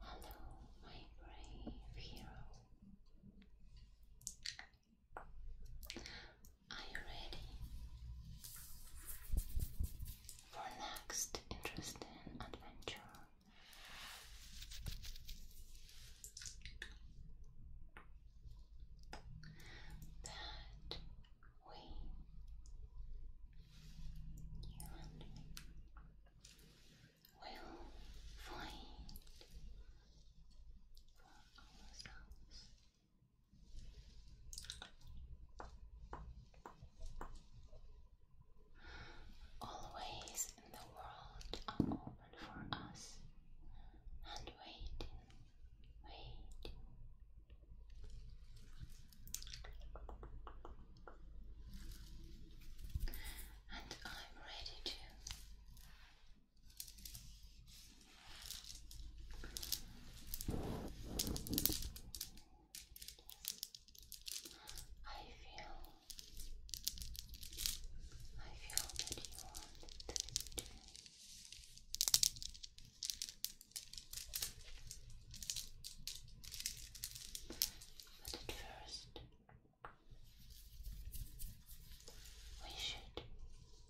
Hello, my brave hero. Are you ready for next interesting adventure? That we and will find for ourselves. ways in the world are open for us and waiting, waiting, and I'm ready to I feel I feel that you want this but at first, we should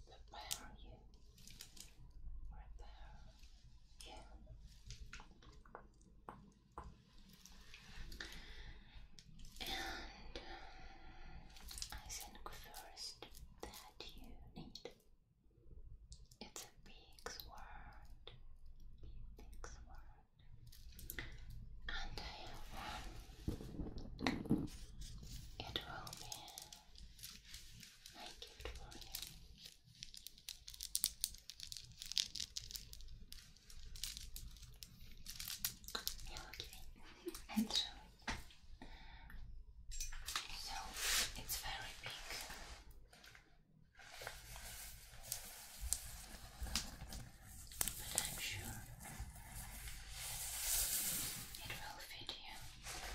prepare you. Prepare you. And I think first that you need it's a big word, And I It will be my for you. okay. And so, so it's very big. But I'm sure it will fit you.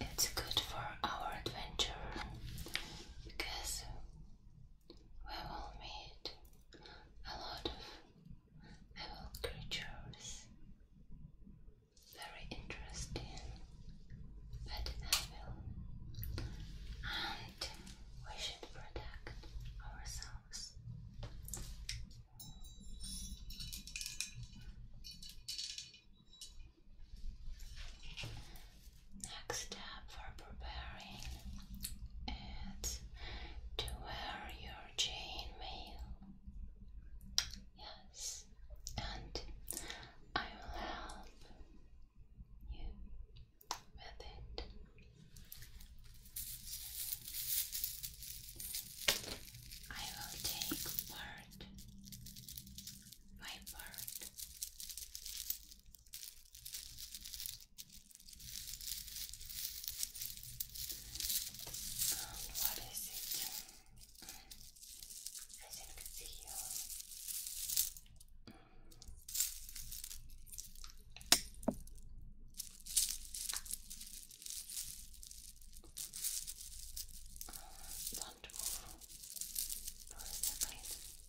It's good for our adventure because we will meet a lot of evil creatures very interesting pet we should protect ourselves. Next step for preparing is to wear your chain Yes, and I will help you with it. I will take part by part. what is it? I still can see you. Don't move. Close the eyes. Um,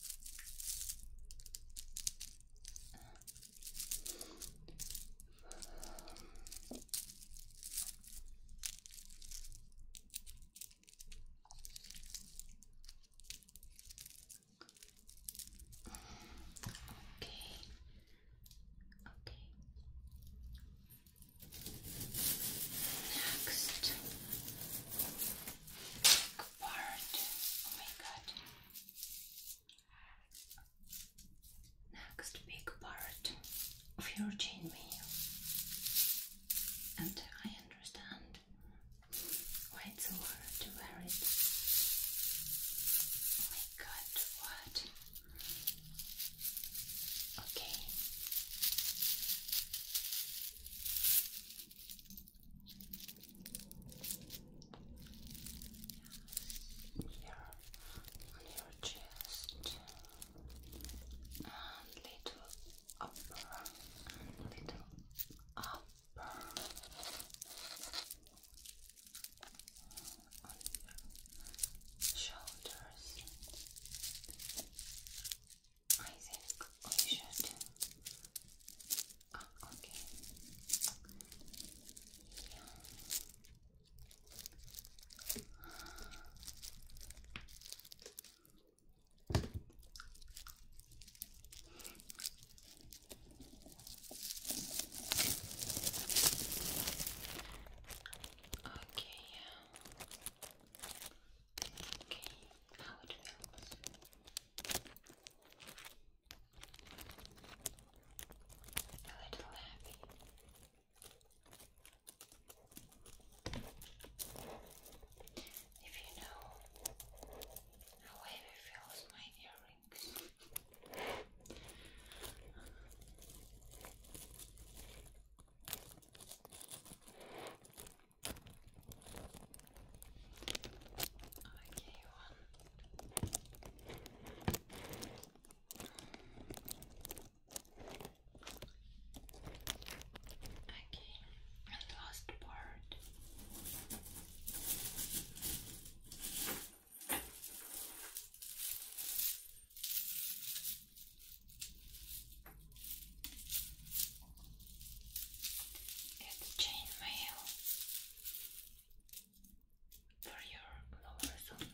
Okay. Okay. Next part. Oh my god. Next big part of your chain mail, and I understand why it's hard to wear it. Oh my god, what? Okay. Here on your chest and little upper and little upper shoulders. I think we should. Ah, okay. Yeah. Okay, yeah. Okay, now it feels. A little heavy. If you know how heavy feels my earrings. Okay, one. Okay, and last part. It's chain for your lower zone.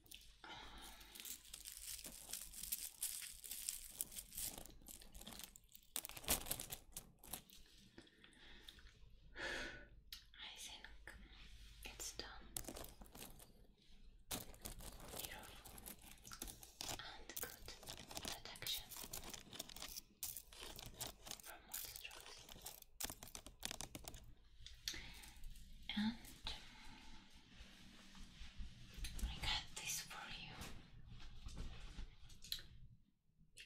I think it's done. Beautiful and good protection from water strokes. And I got this for you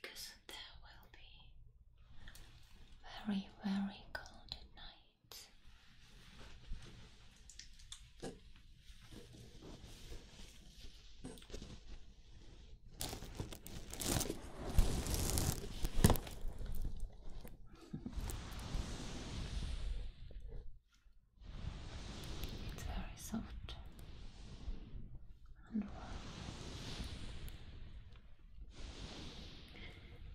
because there will be very, very cold at night. It's very soft and warm. Uh, yes.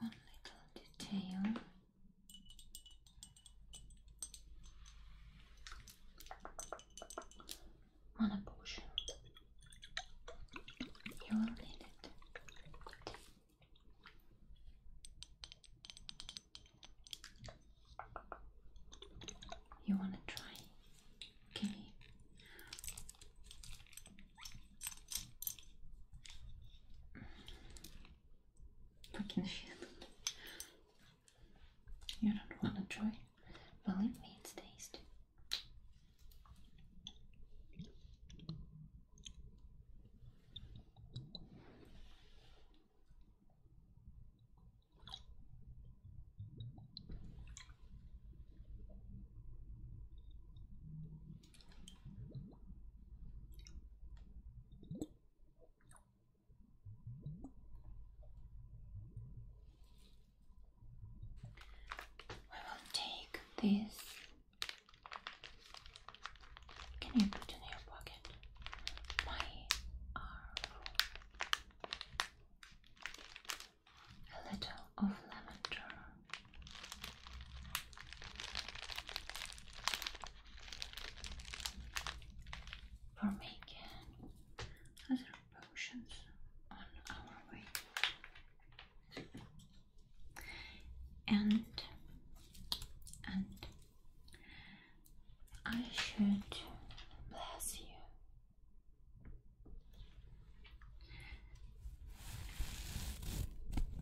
Okay, one little detail Mana potion. You will need it. You want to try? Okay. Fucking shit. You don't wanna try? Believe me, it's tasty. We will take this. Can you put in your pocket? My arrow. A little of lavender for making other potions on our way. And and I should bless you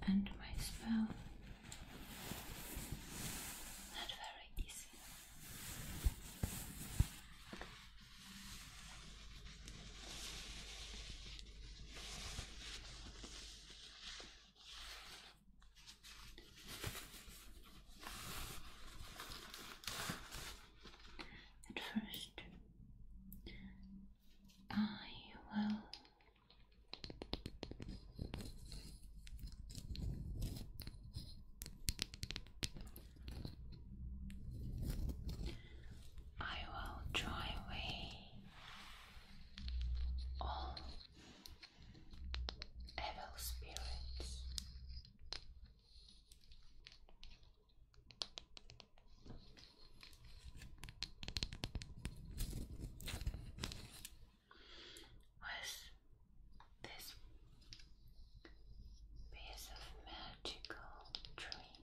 and my spell not very easy. At first, I will I will drive away all evil spirits was this piece of magical dream.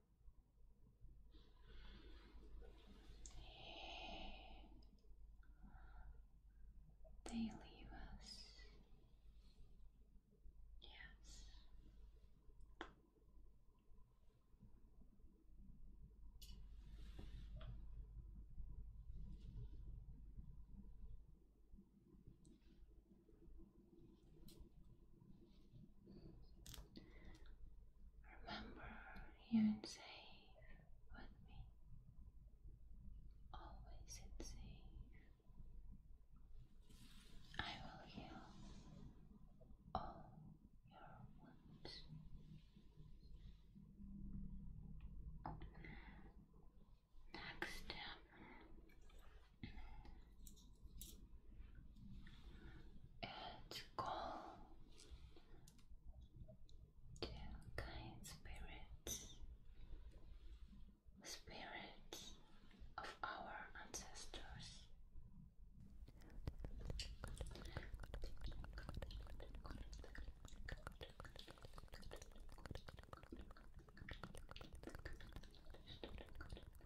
They leave us. Yes. Remember, you're safe with me. Always safe. I will heal all your wounds. Next step it called to kind spirits, spirits of our ancestors.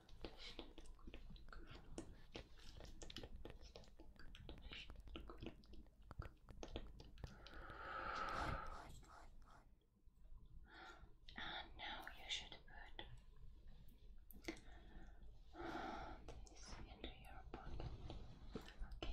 And now you should put this into your pocket. Okay.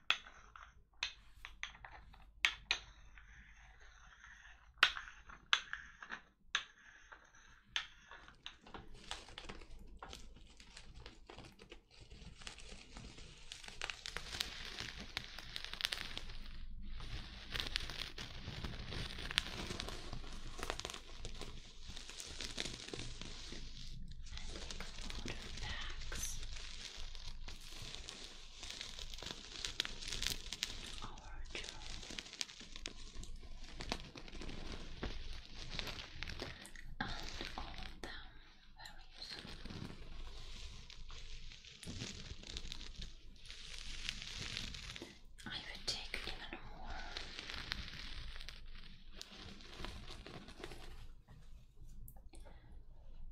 bags our job and all of them very useful I would take even more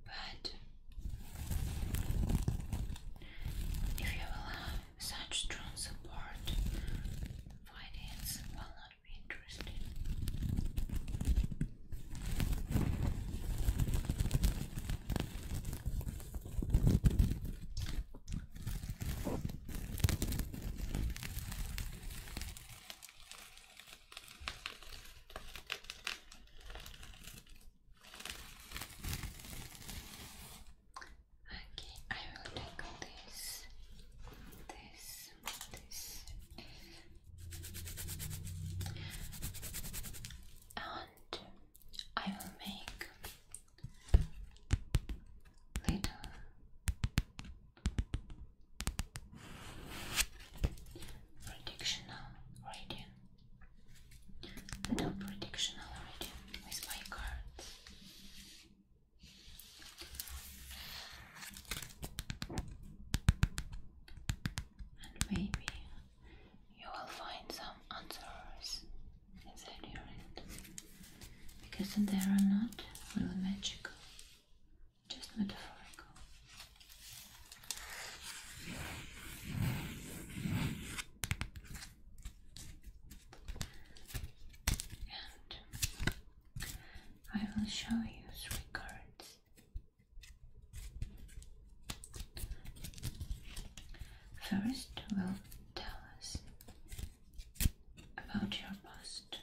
but if you have such strong support, finance will not be interesting. Okay, I will take this, this, this, and I will make little Prediction already. The top prediction with my cards. And maybe you will find some answers inside your head. Because they are not really magical just metaphorical. And I will show you three cards. First will tell us about your post.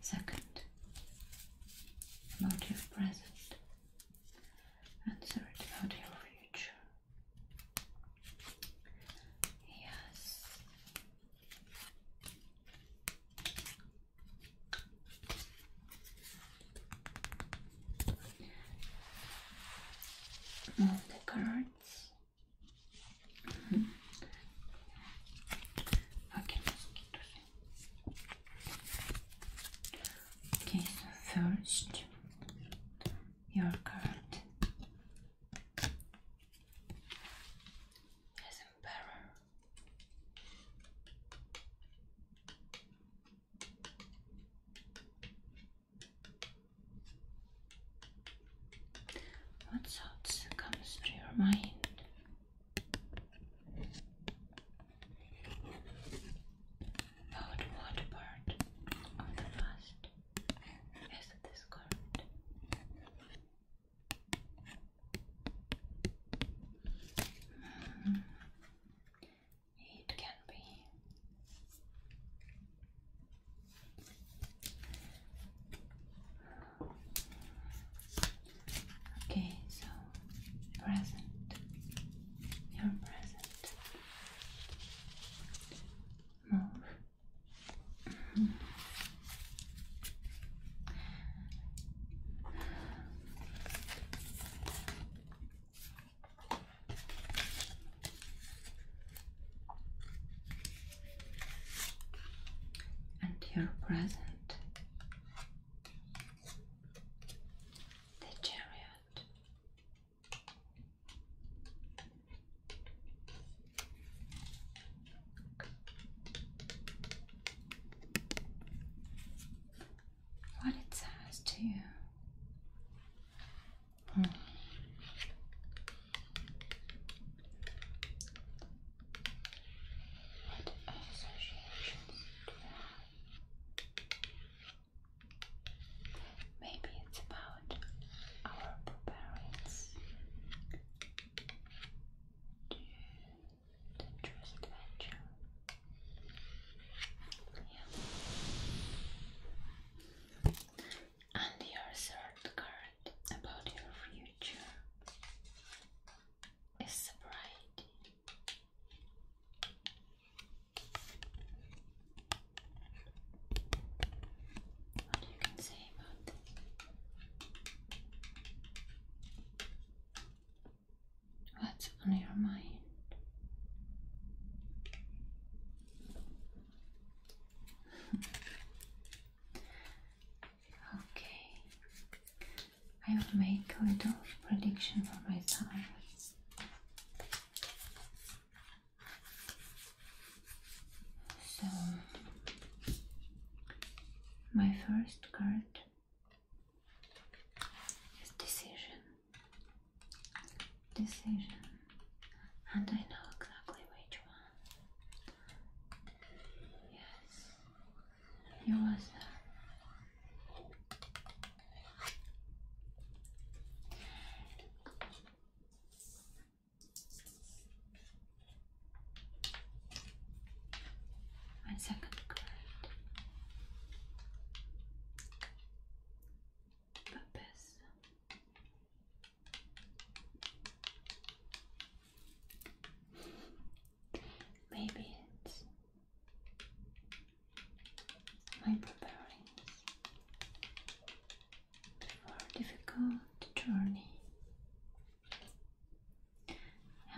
Second, about your present, Answer third, about your future. Yes. All the cards Okay, so first your card as emperor. What thoughts comes to your mind? About what part of the past is this hmm. It can be Okay, so present, you present. Move and your present, the chariot. What it says to you. Hmm. What you Maybe it's about our parents. Do adventure? And your third card about your future is bright. What you can say about that? What's on your mind? Okay, I will make a little prediction for myself. So, my first card is decision. Decision, and I know exactly which one. Yes, he was My second grade. Papes. Maybe it's my preparings for difficult journey.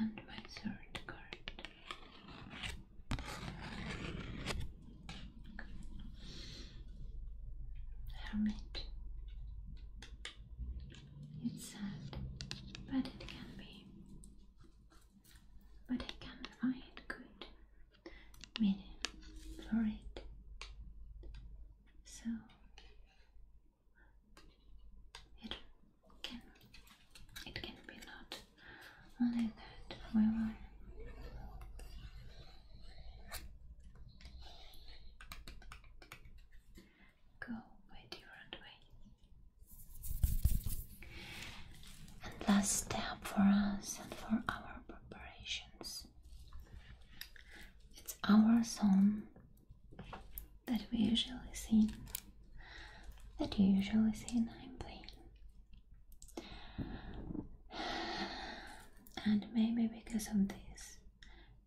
And my third card. Hermit. It's sad, but it can be. But I can find good meaning for it. So it can it can be not only that we go a different way. And last step for us and for our preparations. It's our song that we usually sing, that you usually sing, I'm playing. And maybe because of this,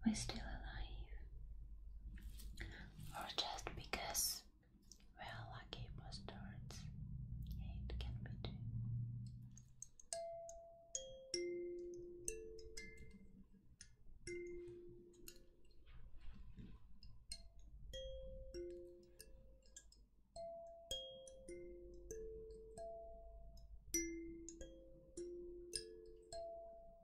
we're still alive. Or just because we're lucky bastards. it can be